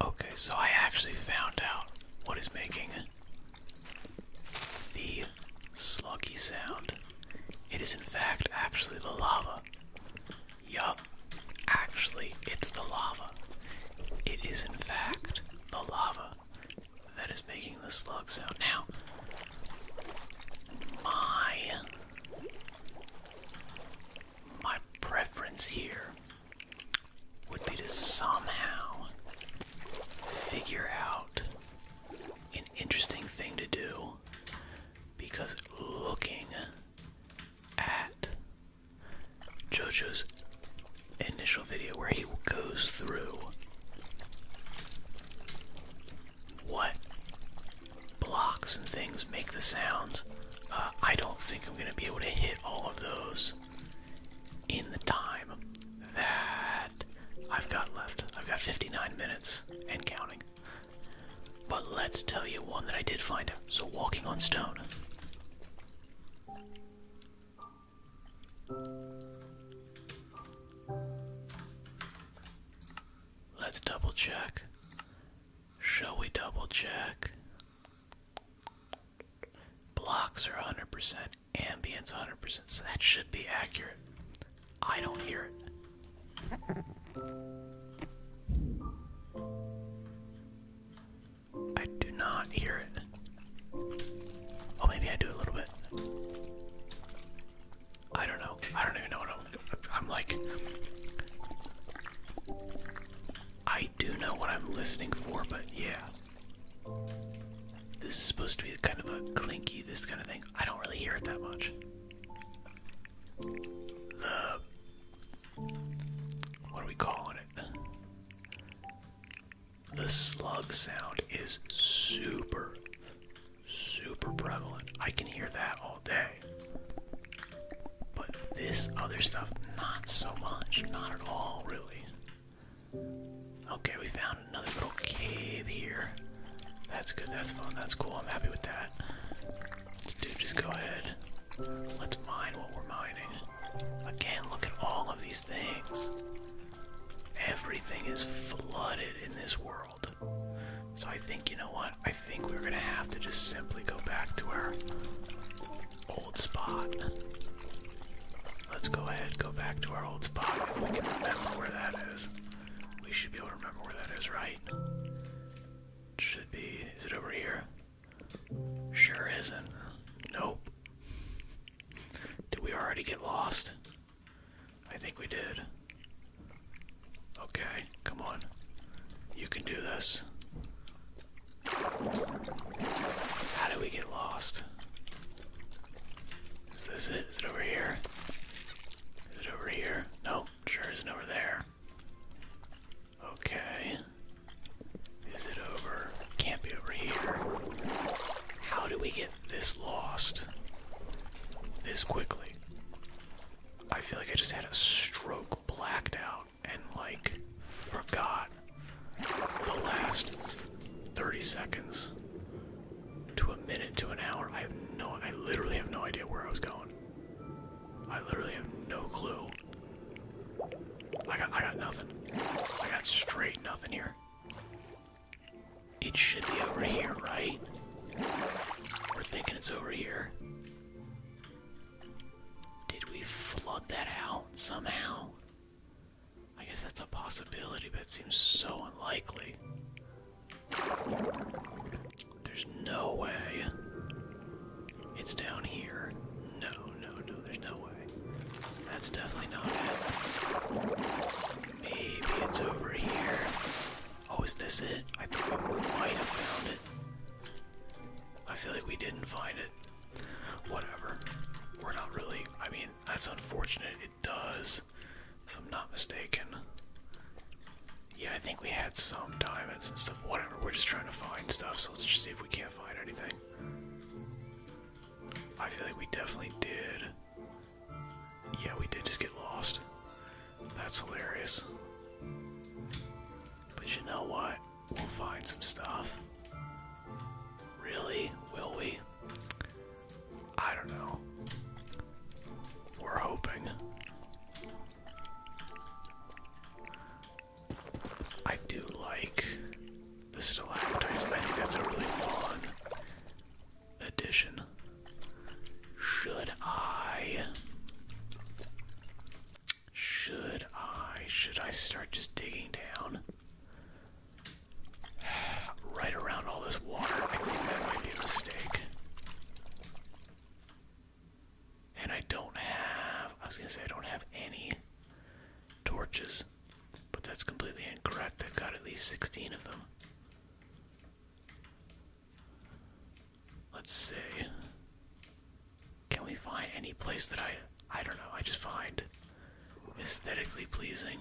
Okay, so I actually found out what is making the sluggy sound. It is, in fact, actually the lava. Yup, actually, it's the lava. It is, in fact, the lava that is making the slug sound. Now, my my preference here would be to somehow figure out an interesting thing to do because looking at JoJo's initial video where he goes through what blocks and things make the sounds uh, I don't think I'm going to be able to hit all of those in the time that I've got left. I've got 59 minutes and counting. But let's tell you one that I did find So, walking on stone. Let's double check. Shall we double check? Blocks are 100%, ambience 100%, so that should be accurate. I don't hear it. I do not hear it. Oh, maybe I do a little bit. I don't know. I don't even know what I'm. I'm like. I do know what I'm listening for, but yeah. This is supposed to be kind of a clinky, this kind of thing. I don't really hear it that much. The. What are we calling it? The slug sound is super, super prevalent. I can hear that all day. But this other stuff, not so much. Not at all, really. Okay, we found another little cave here. That's good, that's fun, that's cool. I'm happy with that. Dude, just go ahead. Let's mine what we're mining. Again, look at all of these things. Everything is flooded in this world. So I think, you know what? I think we're gonna have to just simply go back to our old spot. Let's go ahead, go back to our old spot. If we can remember where that is, we should be able to remember where that is, right? should be. Is it over here? Sure isn't. Nope. Did we already get lost? I think we did. Okay, come on. You can do this. How did we get lost? Is this it? Is it over here? Is it over here? No, sure isn't over there. Okay. Is it over? Can't be over here. How do we get this lost? This quickly? I feel like I just had a stroke blacked out and like forgot the last 30 seconds to a minute to an hour. I have no I literally have no idea where I was going. I literally have no clue. I got I got nothing. I got straight nothing here. It should be over here, right? We're thinking it's over here. Did we flood that out somehow? I guess that's a possibility, but it seems so unlikely. There's no way. It's down here. No, no, no, there's no way. That's definitely not it. Maybe it's over here. Oh, is this it? I think we might have found it. I feel like we didn't find it. Whatever. We're not really. I mean, that's unfortunate. It does, if I'm not mistaken. Yeah, I think we had some diamonds and stuff. Whatever. We're just trying to find stuff, so let's just see if we can't find anything. I feel like we definitely did. Yeah, we did just get lost. That's hilarious. But you know what? We'll find some stuff. Really? Will we? I don't know. We're hoping. I do like the stalactites. I think that's a really fun addition. Should I? Should I? Should I start just digging down? right around all this water. I think that might be a mistake. And I don't have. I was gonna say I don't have any torches. But that's completely incorrect. I've got at least 16 of them. Let's see. Can we find any place that I I don't know, I just find aesthetically pleasing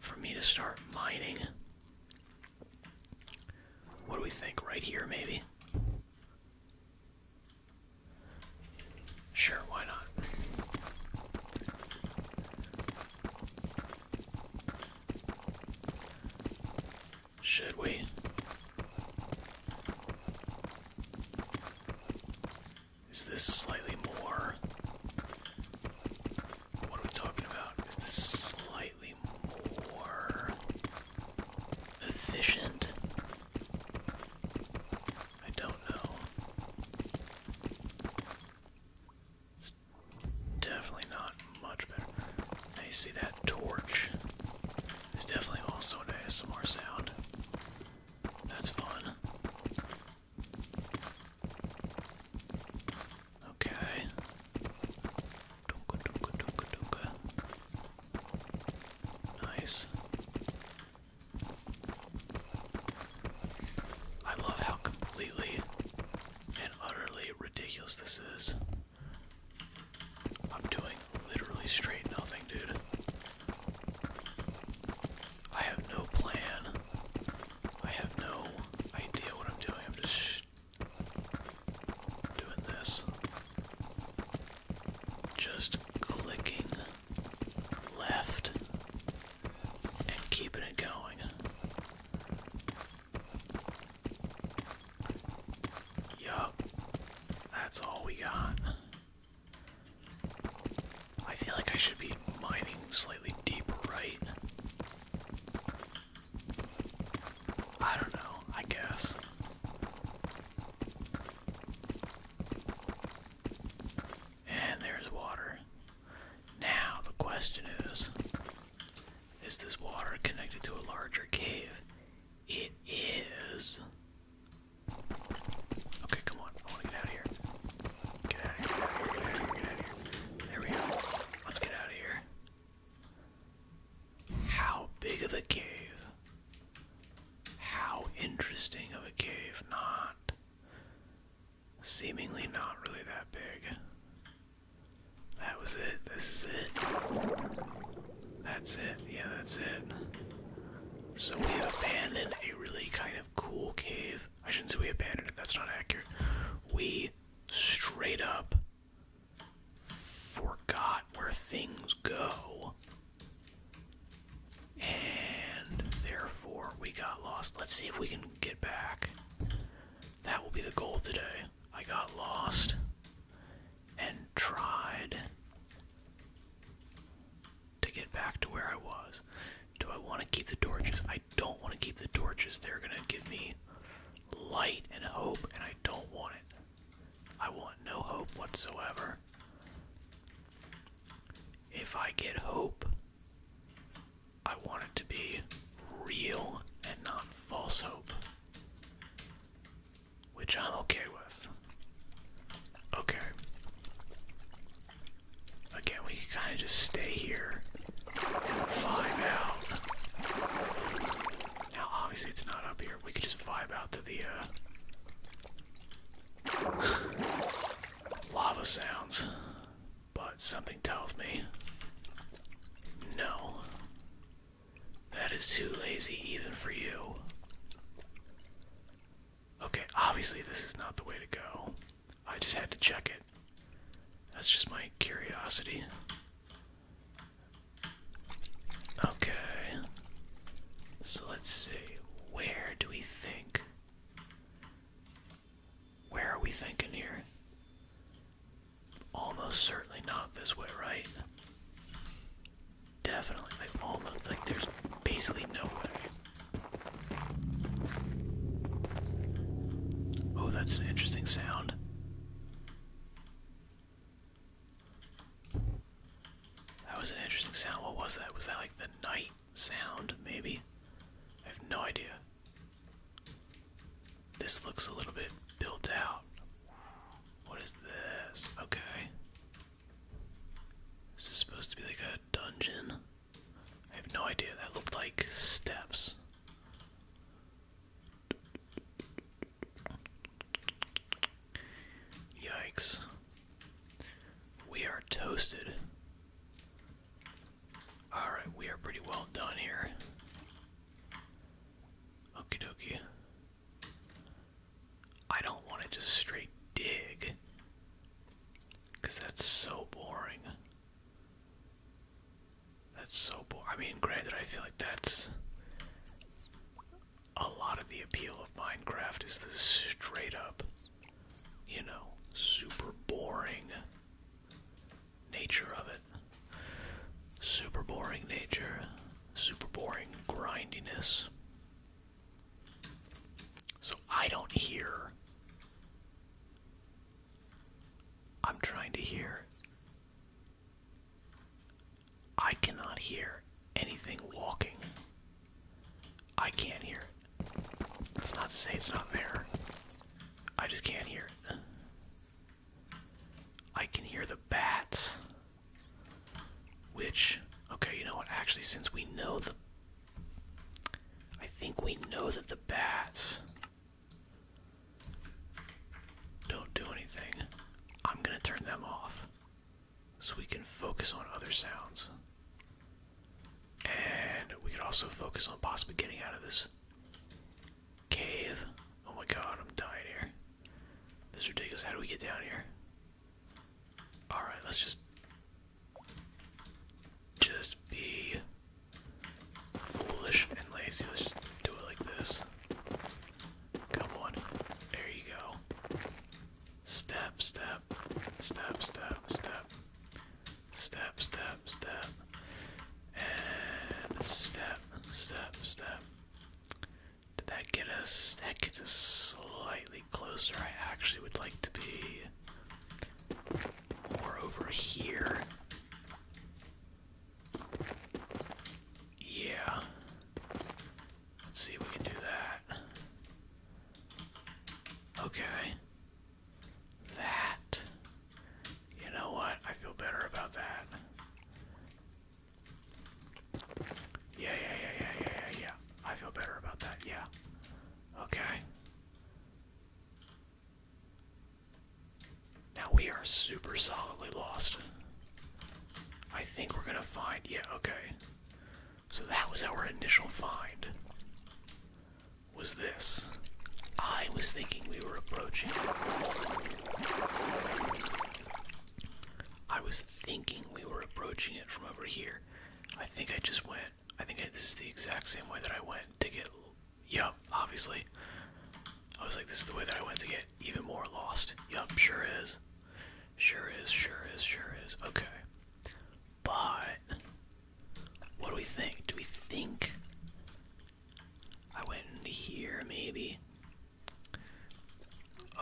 for me to start mining? What do we think? Right here maybe? Sure, why not? Should we? Is this slightly more? What are we talking about? Is this slightly more efficient? I don't know. It's definitely not much better. you see that torch. It's definitely also an ASMR sound. That's fun. Okay. Dunka, dunka, dunka, dunka. Nice. I love how completely and utterly ridiculous this is. I'm doing literally straight nothing, dude. I have no plan. I have no idea what I'm doing. I'm just doing this. Just clicking left and keeping it going. Yup. That's all we got. I feel like I should be mining slightly deeper, right? I don't know, I guess. And there's water. Now, the question is is this water connected to a larger cave? It is. Okay, come on. Get out of here, get out of here, get out of here, get out of here. There we go. Let's get out of here. How big of a cave? How interesting of a cave? Not. Seemingly not really that big. That was it. This is it. That's it. Yeah, that's it. So we have abandoned a really kind of cool cave. I shouldn't say we abandoned it. That's not accurate. We straight up forgot where things go. And therefore we got lost. Let's see if we can get back. That will be the goal today. I got lost and tried to get back to where I was. Do I want to keep the torches? I don't want to keep the torches. They're going to give me light and hope, and I don't want it. I want no hope whatsoever. If I get hope, I want it to be real and not false hope. Which I'm okay with. Okay. Again, we can kind of just stay here and vibe out. Now, obviously, it's not up here. We could just vibe out to the uh, lava sounds, but something tells me no. That is too lazy even for you. Okay, obviously this is not the way to go. I just had to check it. That's just my curiosity. Okay. So let's see. Where do we think? Where are we thinking here? almost certainly not this way, right? Definitely, like almost like there's basically no way. Oh, that's an interesting sound. That was an interesting sound. What was that? Was that like the night sound, maybe? I have no idea. This looks a little bit built out. What is this? Okay. this Is supposed to be like a dungeon? I have no idea. That looked like steps. Yikes. We are toasted. Alright, we are pretty well done here. Okie dokie. I don't want to just straight dig. Because that's so boring. That's so boring. I mean, granted, I feel like that's. A lot of the appeal of Minecraft is the straight up, you know, super boring nature of it. Super boring nature, super boring grindiness. So I don't hear. I'm trying to hear. I cannot hear anything walking. I can't hear it. It's not to say it's not there. I just can't hear it. I can hear the bats. Which, okay, you know what? Actually, since we know the. I think we know that the bats don't do anything. I'm gonna turn them off so we can focus on other sounds. And we can also focus on possibly getting out of this Cave. Oh my god, I'm dying here. This is ridiculous. How do we get down here? Alright, let's just. Just be foolish and lazy. Let's just do it like this. Come on. There you go. Step, step, step, step, step, step, step, step, step, and step, step, step. Did that get us? That gets us slightly closer. I actually would like to be more over here. Yeah. Let's see if we can do that. Okay. That you know what? I feel better about that. Yeah, yeah, yeah, yeah, yeah, yeah, yeah. I feel better about that, yeah. Okay. Now we are super solidly lost. I think we're gonna find. Yeah, okay. So that was our initial find. Was this. I was thinking we were approaching I was thinking we were approaching it from over here. I think I just went. I think this is the exact same way that I went to get. Yup, obviously. I was like, this is the way that I went to get even more lost. Yup, sure is. Sure is, sure is, sure is. Okay. But. What do we think? Do we think I went into here, maybe.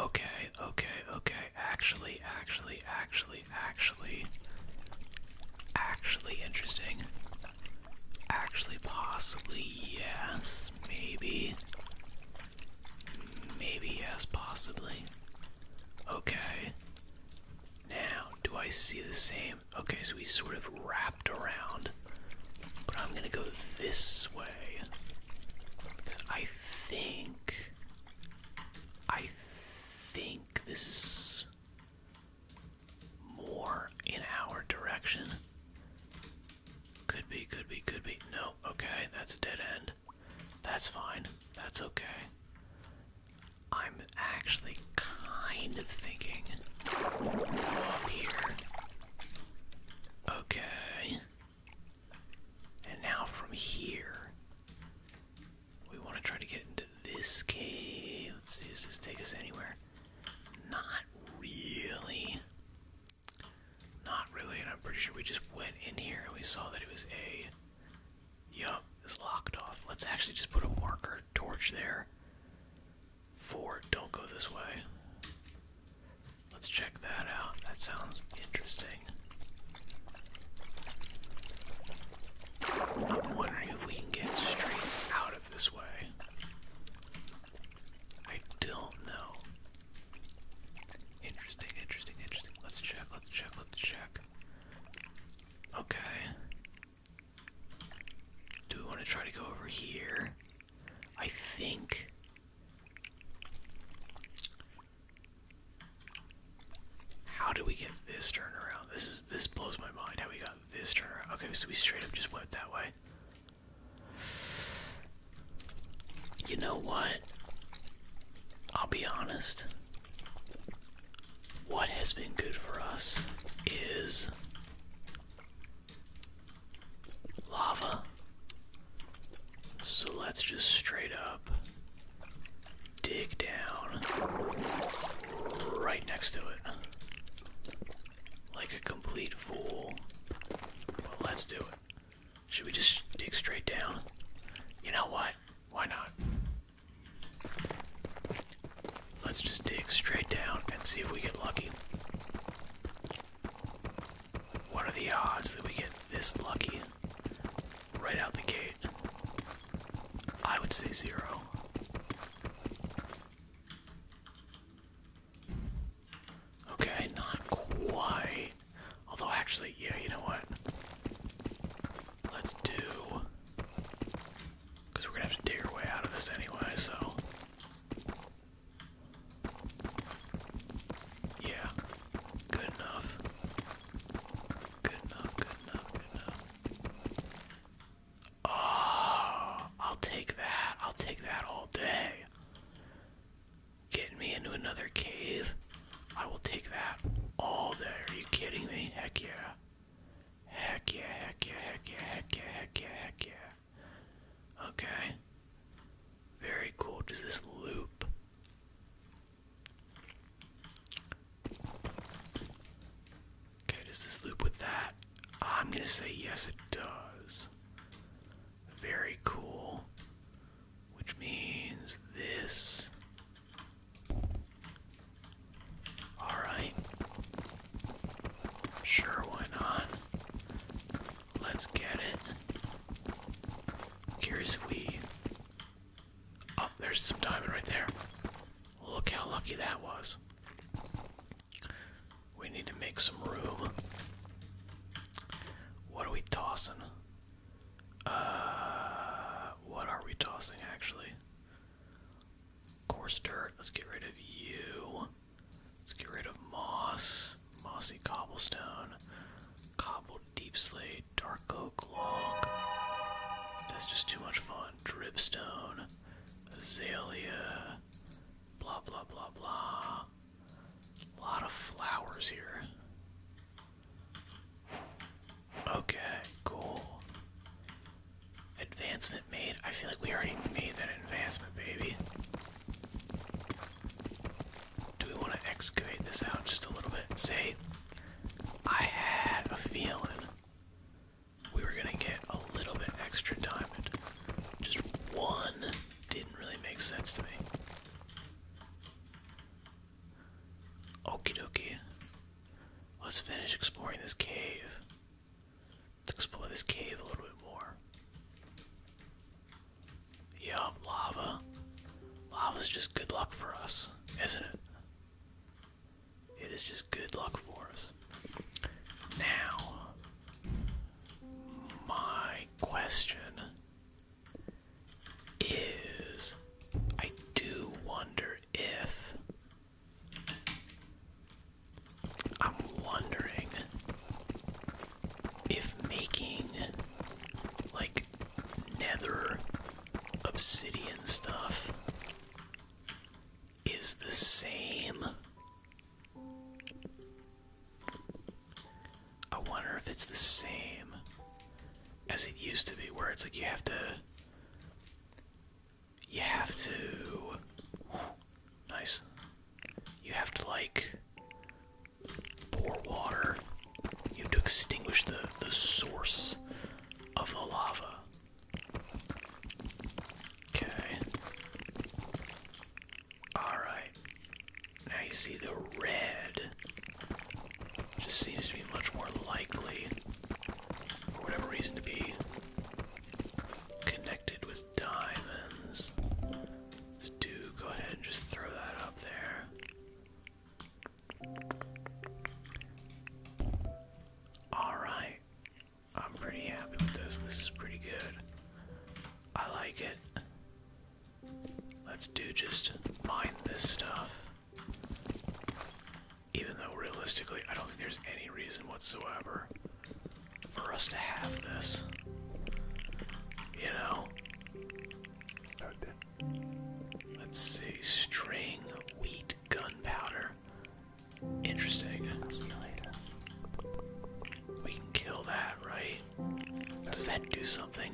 Okay, okay, okay. Actually, actually, actually, actually. Actually interesting. Actually, possibly, yes. Maybe. Maybe, yes, possibly. Okay. Now, do I see the same Okay, so we sort of wrapped around. But I'm gonna go this way. I think. I think this is more in our direction. Could be, could be, could be. No, okay, that's a dead end. That's fine. That's okay. I'm actually kind of thinking Okay. And now from here, we want to try to get into this cave. Let's see, does this take us anywhere? Not really. Not really, and I'm pretty sure we just went in here and we saw that it was a. Yup, it's locked off. Let's actually just put a marker torch there. Four, don't go this way. Let's check that out. That sounds interesting. I'm wondering if we can get straight out of this way. I don't know. Interesting, interesting, interesting. Let's check, let's check, let's check. Okay. Do we want to try to go over here? I think. How do we get this turn around? This is this blows my mind how we got this turn around. Okay, so we straight up just went that way. You know what? I'll be honest. What has been good for us is lava. So let's just straight up dig down right next to it. Like a complete fool. let's do it. Should we just dig straight down? You know what? Why not? Let's just dig straight down and see if we get lucky. What are the odds that we get this lucky right out the gate? I would say zero. Okay, not quite. Although, actually, yeah, you know what? Let's do. Because we're gonna have to dig our way out of this anyway, so yeah. Good enough. Good enough, good enough, Oh, I'll take that. I'll take that all day. Getting me into another cave. I will take that all day. Are you kidding me? Heck yeah. Heck yeah, heck yeah, heck yeah, heck yeah, heck yeah, heck yeah. Okay. Very cool. Does this loop? Okay, does this loop with that? I'm gonna say yes, it does. Very cool. Which means this Alright. Sure, why not? Let's get it. curious if we. Oh, there's some diamond right there. Look how lucky that was. We need to make some room. What are we tossing? Uh, what are we tossing actually? Coarse dirt. Let's get rid of you. Let's get rid of moss. Mossy cobblestone. Cobbled deep slate. Dark oak log. That's just too much fun. Dripstone. Azalea. Blah, blah, blah, blah. A lot of flowers here. Okay, cool. Advancement made. I feel like we already made that advancement, baby. Do we want to excavate this out just a little bit? Say, I had a feeling we were going to get a little bit extra diamond. Just one didn't really make sense to me. Okie dokie. Let's finish exploring this cave. Let's explore this cave a little bit more. Yup, lava. Lava's just good luck for us, isn't it? It is just good luck for us. Now, my question is I do wonder if I'm wondering if making like nether obsidian stuff is the same. I wonder if it's the same as it used to be, where it's like you have to you have to. Nice. You have to, like, pour water. You have to extinguish the, the source of the lava. Okay. Alright. Now you see the red. Just seems to be much more likely, for whatever reason, to be connected with diamonds. Let's do go ahead and just throw that up there. Alright. I'm pretty happy with this. This is pretty good. I like it. Let's do just mine this stuff. Even though realistically, I don't think there's any reason whatsoever for us to have this. You know? Let's see. String, wheat, gunpowder. Interesting. We can kill that, right? Does that do something?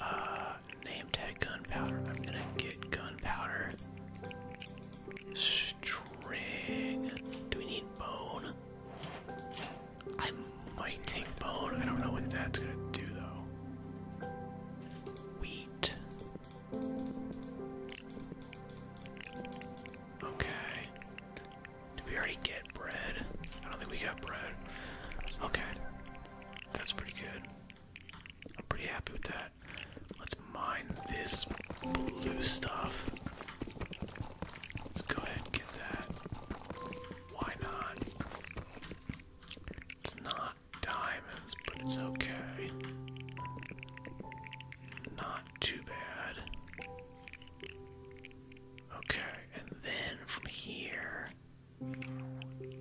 Uh, name tag gunpowder. I'm gonna get gunpowder. String. Do we need bone? I might take bone. I don't know what that's gonna do though. Wheat. Okay. Did we already get bread? I don't think we got bread. Okay. That's pretty good. I'm pretty happy with that. Let's mine this blue stuff. Let's go ahead and get that. Why not? It's not diamonds, but it's okay. Not too bad. Okay, and then from here. Do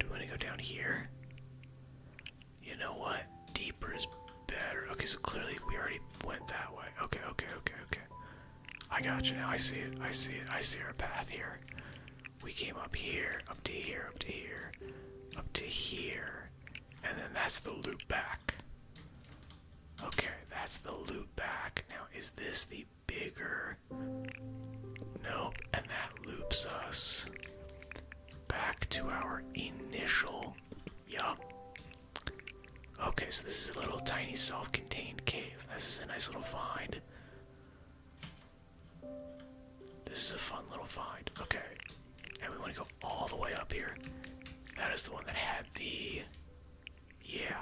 we want to go down here? You know what? Deeper is better. Okay, so clearly we already went that way. Okay, okay, okay, okay. I got you now. I see it. I see it. I see our path here. We came up here, up to here, up to here, up to here, and then that's the loop back. Okay, that's the loop back. Now, is this the bigger? Nope, and that loops us back to our initial. Yup. Okay, so this is a little tiny self contained cave. This is a nice little find. This is a fun little find. Okay. And we want to go all the way up here. That is the one that had the. Yeah.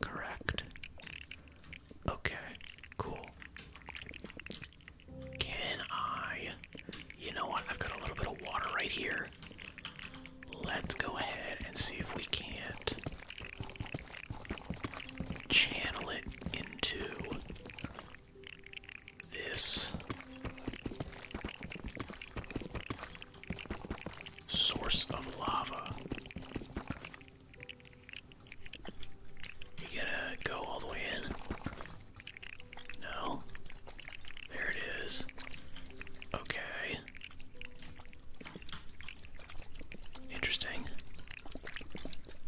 Correct. Okay, cool. Can I? You know what? I've got a little bit of water right here. Let's go ahead and see if we can't channel it into this source of lava. You gotta go all the way in. No. There it is. Okay. Interesting.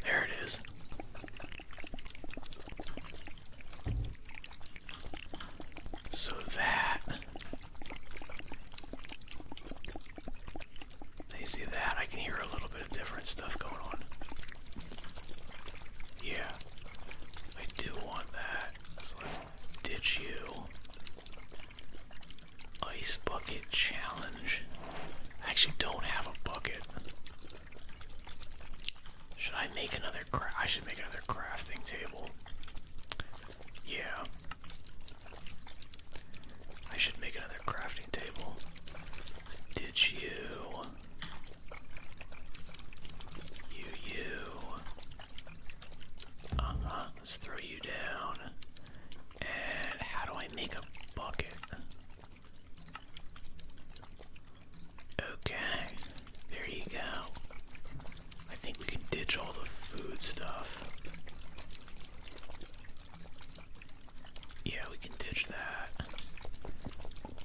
There it is. So that. you see that? I can hear a little bit of different stuff going on. Yeah. I do want that. So let's ditch you. Ice bucket challenge. I actually don't have a bucket. Should I make another cra I should make another crafting table. Yeah. I should make another crafting table. Ditch you. You, you. Uh huh. Let's throw you down. And how do I make a bucket? Okay. There you go. I think we can ditch all the food stuff. Yeah, ditch that.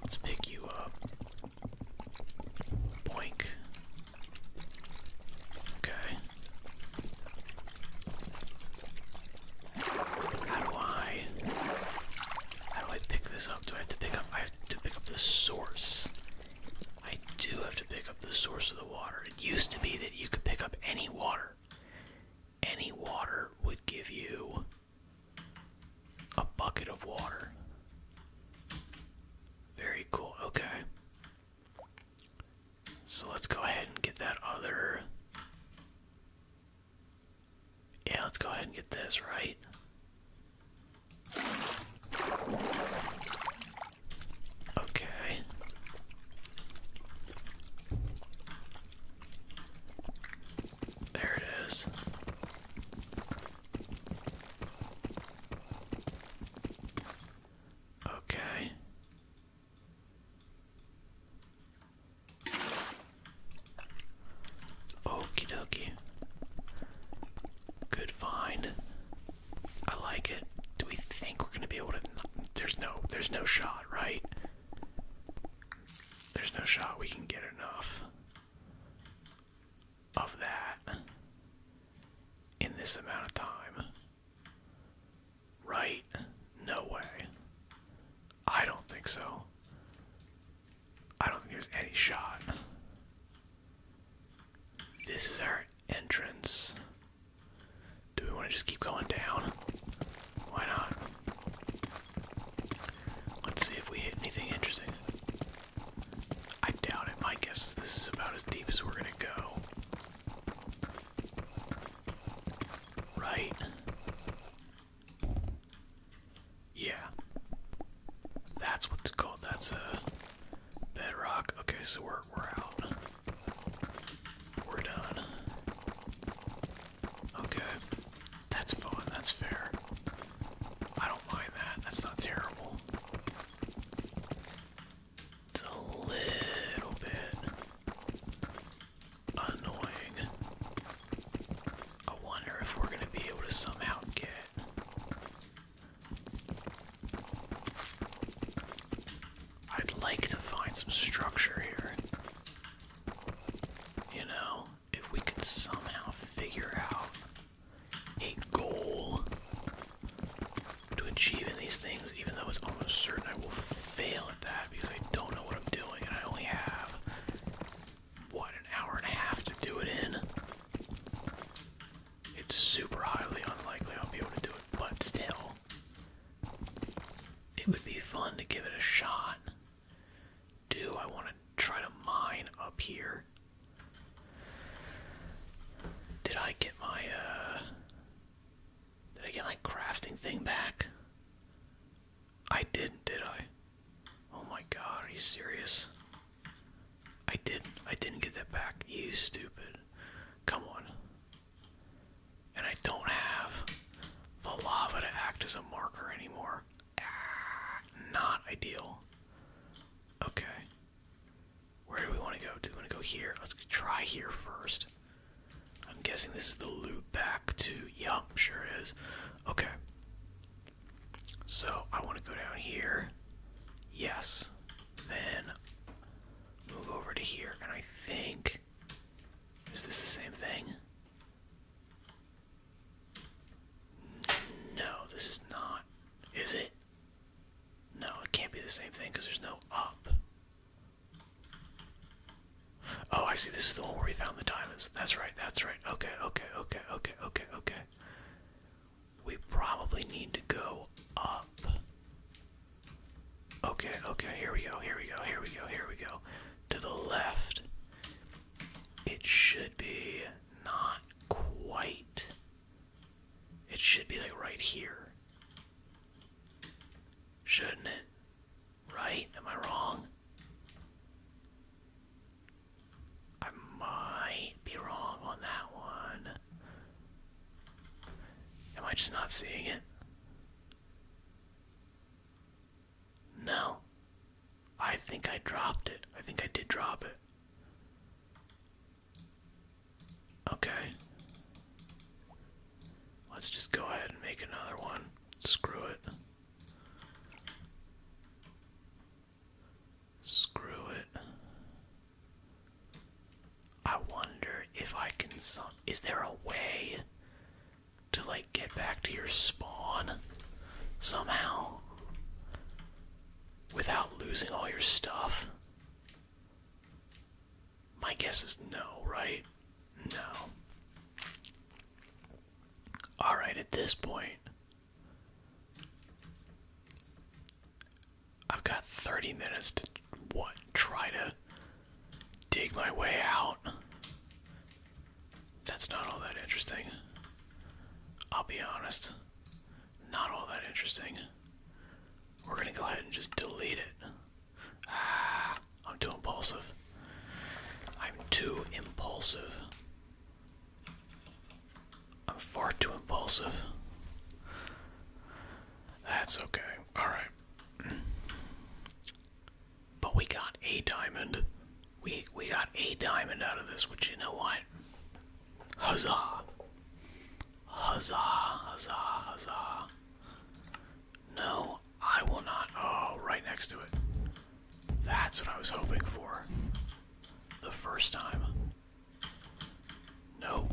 Let's pick you up. Boink. Okay. How do I how do I pick this up? Do I have to pick up I have to pick up the source? I do have to pick up the source of the water. It used to be that you could pick up any water. Any water would give you a bucket of water. Very cool. Okay. So let's go ahead and get that other. Yeah, let's go ahead and get this, right? Okay. There it is. Okay. Okie dokie. Good find. I like it. Do we think we're gonna be able to? There's no, there's no shot, right? There's no shot we can get enough of that in this amount of time. Right? No way. I don't think so. I don't think there's any shot. This is our entrance. Do we want to just keep going down? Why not? Let's see if we hit anything interesting. I doubt it. My guess is this is about as deep as we're gonna go. Right? Yeah. That's what's called. That's a bedrock. Okay, so we're we're out. We're done. Okay. That's fine. that's fair. I don't mind that, that's not terrible. It's a little bit annoying. I wonder if we're gonna be able to somehow get I'd like to find some structure here. You know, if we can somehow figure out a goal to achieve in these things, even though it's almost certain I will fail at that because I don't know what I'm doing and I only have, what, an hour and a half to do it in? It's super highly unlikely I'll be able to do it, but still, it would be fun to give it a shot do I want to try to mine up here? Did I get my, uh. Did I get my crafting thing back? I didn't, did I? Oh my god, are you serious? I didn't. I didn't get that back. You stupid. Come on. And I don't have the lava to act as a marker anymore not ideal. Okay. Where do we want to go? Do we want to go here? Let's try here first. I'm guessing this is the loop back to. Yup, sure is. Okay. So I want to go down here. Yes. Then move over to here. And I think. Is this the same thing? No, this is not. Is it? No, it can't be the same thing because there's no up. Oh, I see. This is the one where we found the diamonds. That's right. That's right. Okay, okay, okay, okay, okay, okay. We probably need to go up. Okay, okay, here we go, here we go, here we go, here we go. To the left. It should be not quite. It should be like right here. Shouldn't it? Right? Am I wrong? I might be wrong on that one. Am I just not seeing it? No. I think I dropped it. I think I did drop it. Okay. Let's just go ahead and make another one. Screw it. Screw it. I wonder if I can. Is there a way to like get back to your spawn somehow without losing all your stuff? My guess is no, right? No. Alright, at this point, I've got 30 minutes to what? Try to dig my way out that's not all that interesting. I'll be honest. Not all that interesting. We're gonna go ahead and just delete it. Ah, I'm too impulsive. I'm too impulsive. I'm far too impulsive. That's okay. Alright. But we got a diamond. We we got a diamond out of this, which you know what? Huzzah! Huzzah! Huzzah! Huzzah! No, I will not. Oh, right next to it. That's what I was hoping for. The first time. No,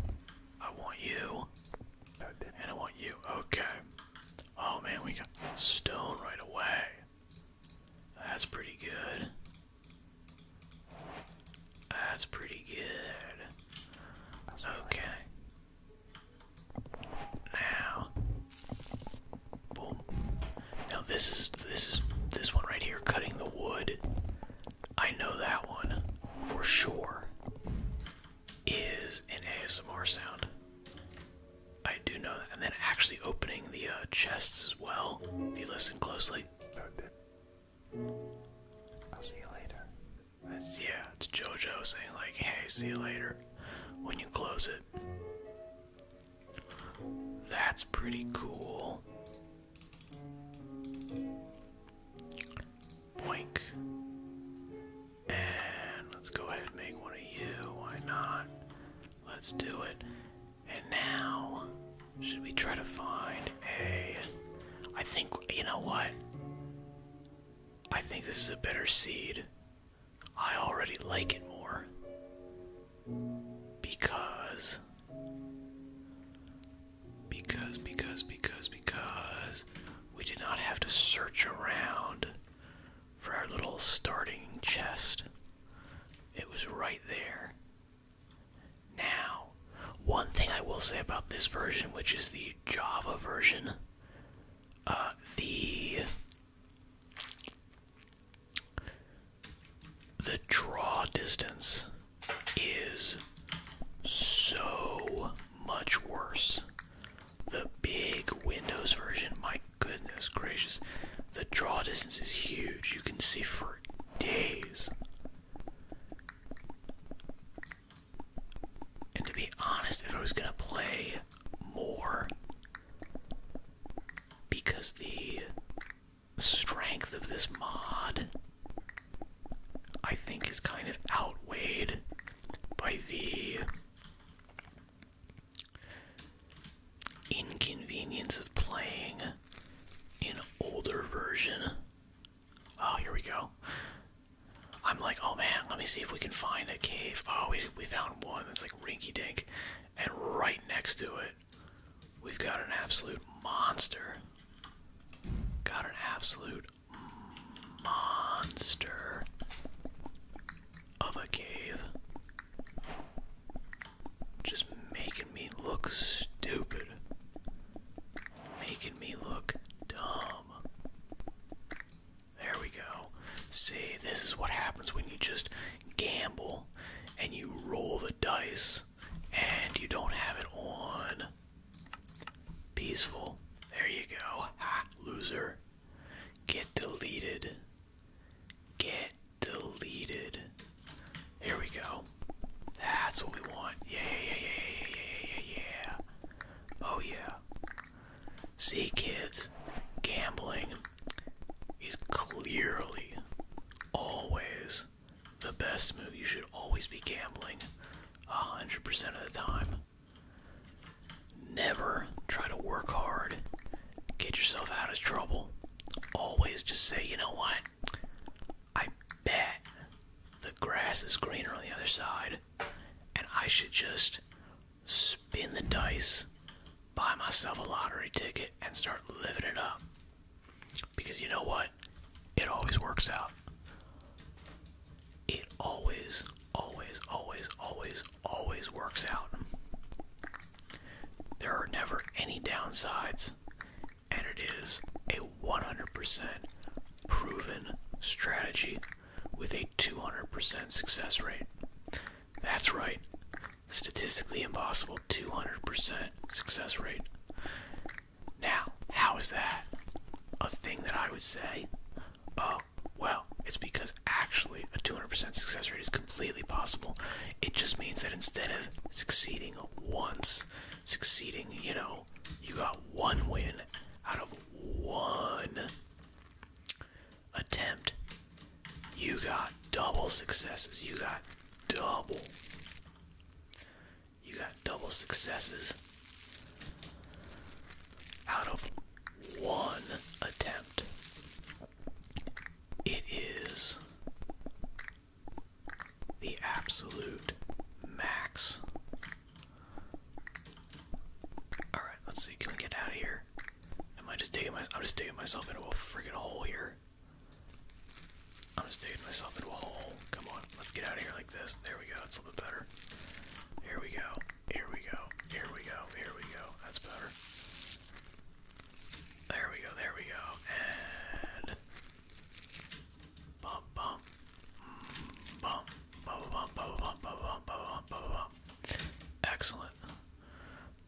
I want you. And I want you. Okay. Oh man, we got stone right away. That's pretty good. That's pretty good. Okay. Now, boom. Now this is this is this one right here, cutting the wood. I know that one for sure is an ASMR sound. I do know that. And then actually opening the uh, chests as well, if you listen closely. I'll see you later. yeah, it's JoJo saying, like, hey, see you later when you close it. That's pretty cool. Boink. And let's go ahead and make one of you. Why not? Let's do it. And now, should we try to find a. I think, you know what? I think this is a better seed. I already like it more. Because. Because, because, because, because. We did not have to search around for our little starting chest. It was right there. Now, one thing I will say about this version, which is the Java version, uh, the the draw distance is so much worse the big Windows version, my goodness gracious, the draw distance is huge. You can see for days. And to be honest, if I was gonna play more, because the strength of this mod I think is kind of outweighed by the inconvenience of playing an older version. Oh, here we go. I'm like, oh man, let me see if we can find a cave. Oh, we, we found one that's like rinky dink. And right next to it, we've got an absolute monster. Got an absolute monster of a cave. Just making me look stupid. Making me look dumb. There we go. See, this is what happens when you just gamble and you roll the dice and you don't have it on peaceful. There you go. loser. Get deleted. Get deleted. Here we go. That's what we want. Yeah, yeah, yeah, yeah, yeah, yeah, Oh yeah. See kids, gambling is clearly always the best move. You should always be gambling 100% of the time. Never try to work hard, get yourself out of trouble. Always just say, you know what? I bet the grass is greener on the other side, and I should just spin the dice, buy myself a lottery ticket, and start living it up. Because you know what? It always works out. It always, always, always, always, always works out. There are never any downsides, and it is a 100% proven strategy with a 200% success rate. That's right, statistically impossible 200% success rate. Now, how is that a thing that I would say? Uh, well, it's because actually a 200% success rate is completely possible. It just means that instead of succeeding once, succeeding, you know, you got one win out of one attempt. You got double successes. You got double. You got double successes out of one attempt. It is the absolute max. All right, let's see. Can we get out of here? Am I just digging my? I'm just digging myself into a freaking hole here. I'm just digging myself into a hole. Come on, let's get out of here like this. There we go. It's a little bit better. Here we go. Here we go. Here we go. Here we go. That's better. There we go. There we go. And bump, bump, bump, bump, bump, bump, bump, bump, bump, bump. Excellent.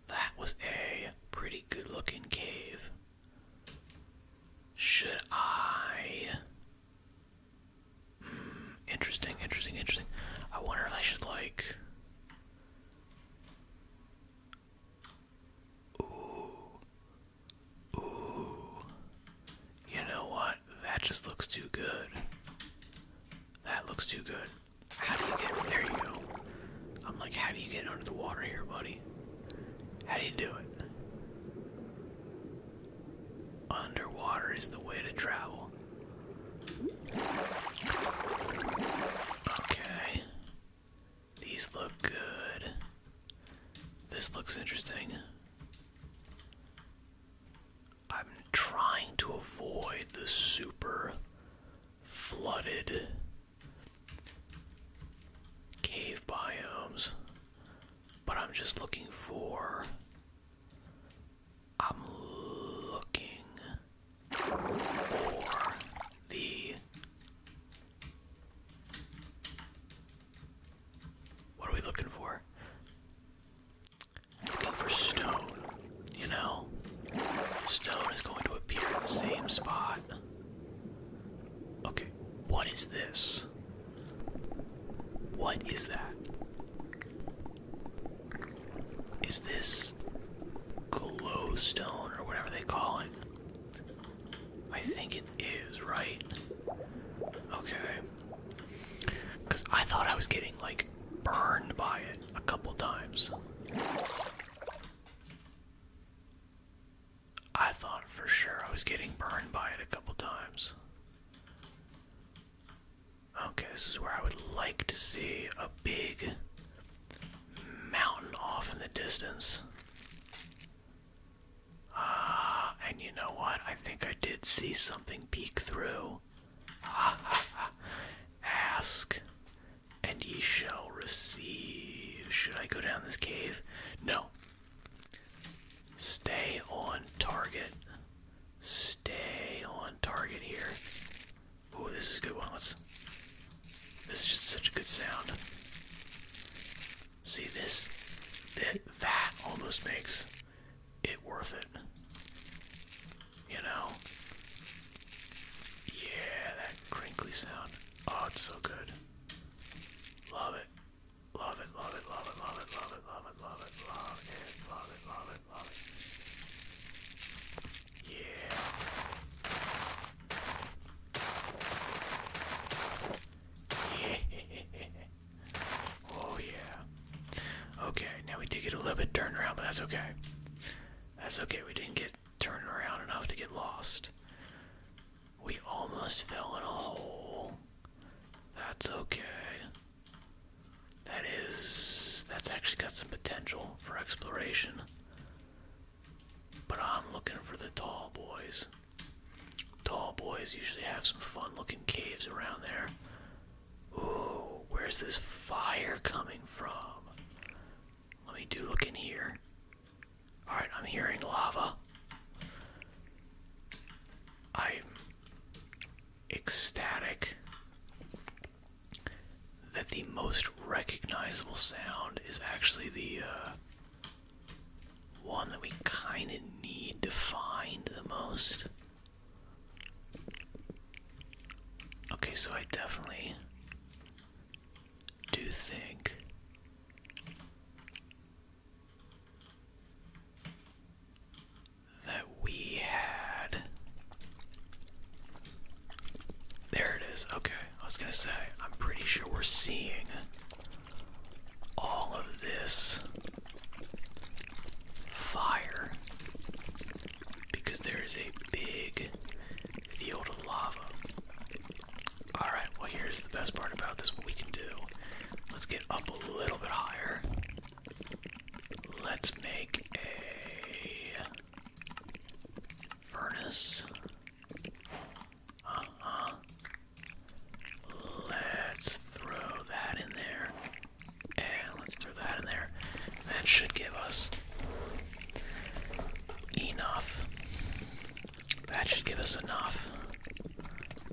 That was a pretty good-looking cave. Should I interesting, interesting, interesting. I wonder if I should like. Ooh. Ooh. You know what? That just looks too good. That looks too good. How do you get there? You go. I'm like, how do you get under the water here, buddy? How do you do it? Underwater is the way to travel. Okay. These look good. This looks interesting. I'm trying to avoid the super flooded cave biomes, but I'm just looking for I'm looking for the. What are we looking for? Looking for stone, you know? Stone is going to appear in the same spot. Okay, what is this? What is that? is this glowstone or whatever they call it? I think it is, right? Okay. Because I thought I was getting, like, burned by it a couple times. I thought for sure I was getting burned by it a couple times. Okay, this is where I would like to see a big mountain off in the distance. Ah, and you know what? I think I did see something peek through. Ask, and ye shall receive. Should I go down this cave? No. Stay on target. Stay on target here. Ooh, this is a good one. Let's. This is just such a good sound. See this, that, that almost makes it worth it. You know. Yeah, that crinkly sound. Oh, it's so good. Love it. Love it, love it, love it, love it, love it, love it, love it, love it, love it, love it. Yeah. Yeah. Oh yeah. Okay, now we did get a little bit turned around, but that's okay. That's okay. We didn't get turned around enough to get lost. We almost fell in a hole. That's okay. That is. That's actually got some potential for exploration. But I'm looking for the tall boys. Tall boys usually have some fun looking caves around there. Ooh, where's this fire coming from? Let me do look in here. Alright, I'm hearing lava. i ecstatic that the most recognizable sound is actually the uh, one that we kind of need to find the most. Okay, so I definitely do think that we had. There it is. Okay, I was gonna say, I'm pretty sure we're seeing all of this fire because there is a big field of lava. Alright, well, here's the best part about this what we can do. Let's get up a little bit higher. Let's make a furnace. Uh-huh. Let's throw that in there. And let's throw that in there. That should give us enough. That should give us enough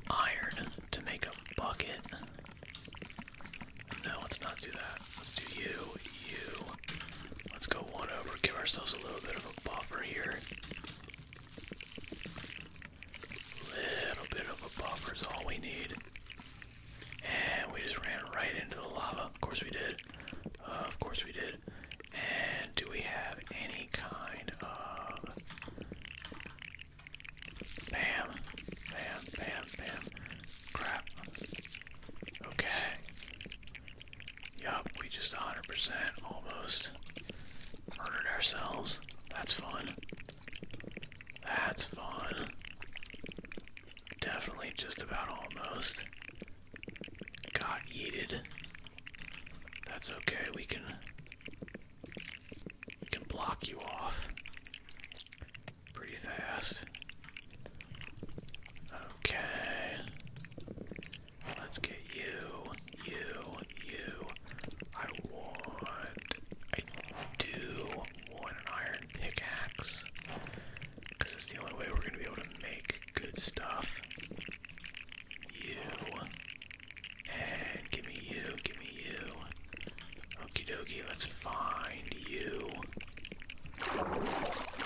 iron to make a bucket. No, let's not do that. Let's do you, you. Let's go one over, give ourselves a little bit of a buffer here. Little bit of a buffer is all we need. And we just ran right into the lava. Of course we did. of course we did. And do we have any kind of Bam, bam, bam, bam. Crap. Okay. Yup, we just 100% almost murdered ourselves. That's fun. That's fun. Definitely just about almost. Got yeeted. That's okay, we can we can block you off pretty fast. Okay. Let's get you, you, you. I want. I do want an iron pickaxe. Because it's the only way we're going to be able to make good stuff. You. And give me you, give me you. Okie dokie, let's find you.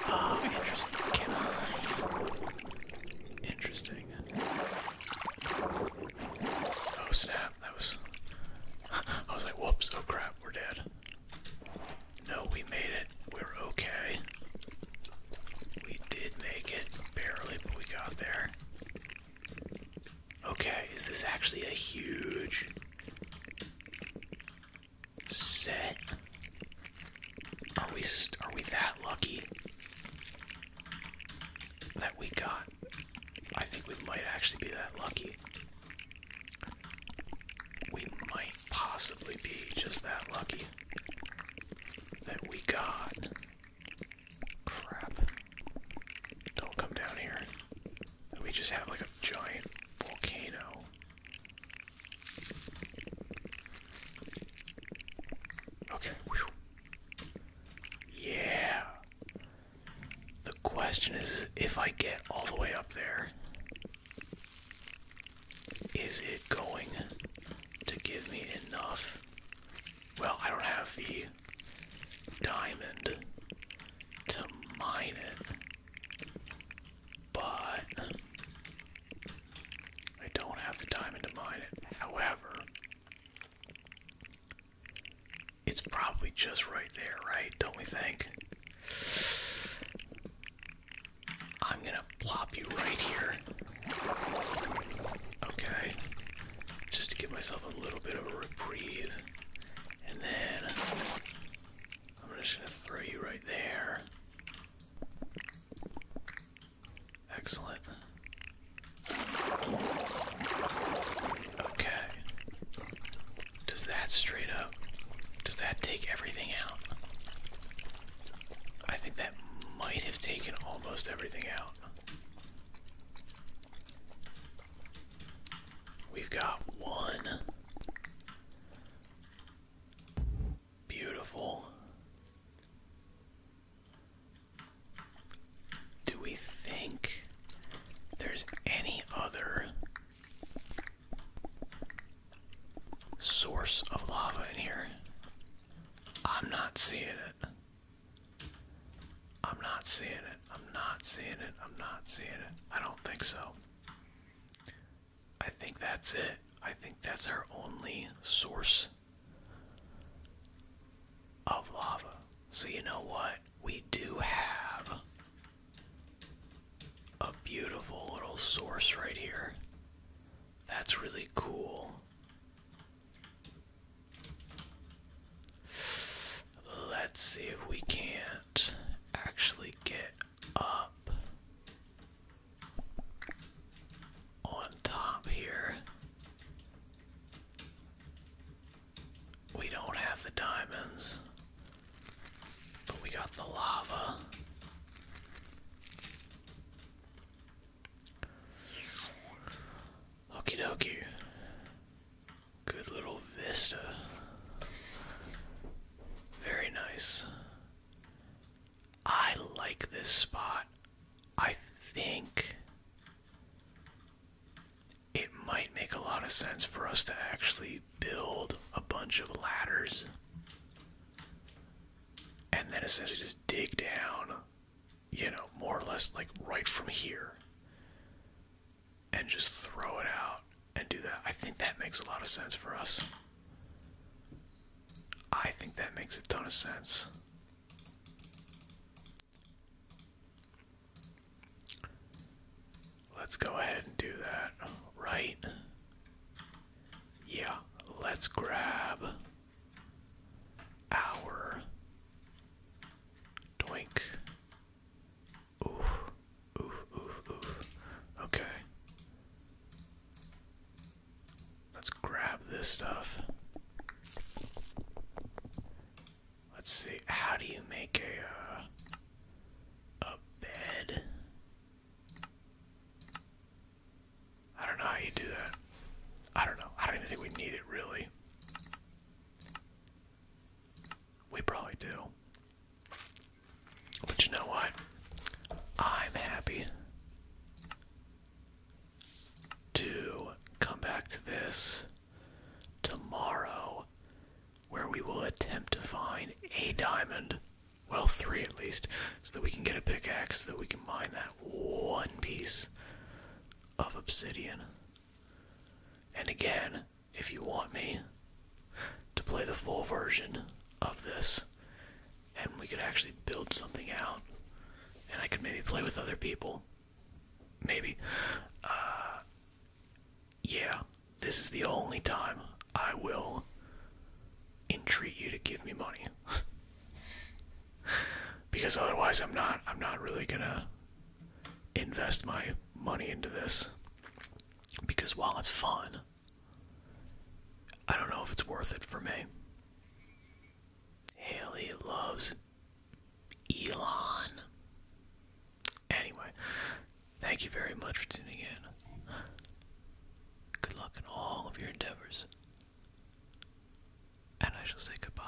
oh, interesting. Interesting. Oh snap, that was. I was like, whoops, oh crap, we're dead. No, we made it. We're okay. We did make it, barely, but we got there. Okay, is this actually a huge set? Are we are we that lucky that we got? I think we might actually be that lucky. We might possibly be just that lucky that we got. Crap. Don't come down here. We just have like a giant volcano. Okay. Yeah. The question is if I get all the way up there, is it going to give me enough? Well, I don't have the diamond to mine it, but I don't have the diamond to mine it. However, it's probably just right there, right? Don't we think? I'm gonna plop you right here. Okay. Just to give myself a little bit of a reprieve. And then I'm just going to throw you right there. Excellent. Okay. Does that straight up, does that take everything out? I think that might have taken almost everything out. We've got one. Beautiful. Do we think there's any other source of lava in here? I'm not seeing it. I'm not seeing it. I'm not seeing it. I'm not seeing it. I don't think so. I think that's it. I think that's our only source of lava. So, you know what? We do have a beautiful little source right here. That's really cool. Let's see if we can't actually get up on top here. We don't have the diamonds, but we got the lava. Okie dokie. Good little vista. Very nice. I like this spot. I think it might make a lot of sense for us to actually build a bunch of ladders and then essentially just dig down, you know, more or less like right from here and just throw it out and do that. I think that makes a lot of sense for us. I think that makes a ton of sense. Let's go ahead and do that, right? Yeah, let's grab our doink Oof, oof, oof, oof. Okay. Let's grab this stuff. Let's see. How do you make a uh, a bed? I don't know how you do that. I don't know. I don't even think we need it really. We probably do. But you know what? I'm happy to come back to this tomorrow where we will attempt to find a diamond. Well, three at least, so that we can get a pickaxe, so that we can mine that one piece of obsidian. And again, if you want me to play the full version of this, and we could actually build something out, and I could maybe play with other people, maybe. Uh, yeah, this is the only time I will entreat you to give me money. because otherwise I'm not I'm not really gonna invest my money into this because while it's fun, I don't know if it's worth it for me. Haley loves Elon. Anyway, thank you very much for tuning in. Good luck in all of your endeavors. And I shall say goodbye.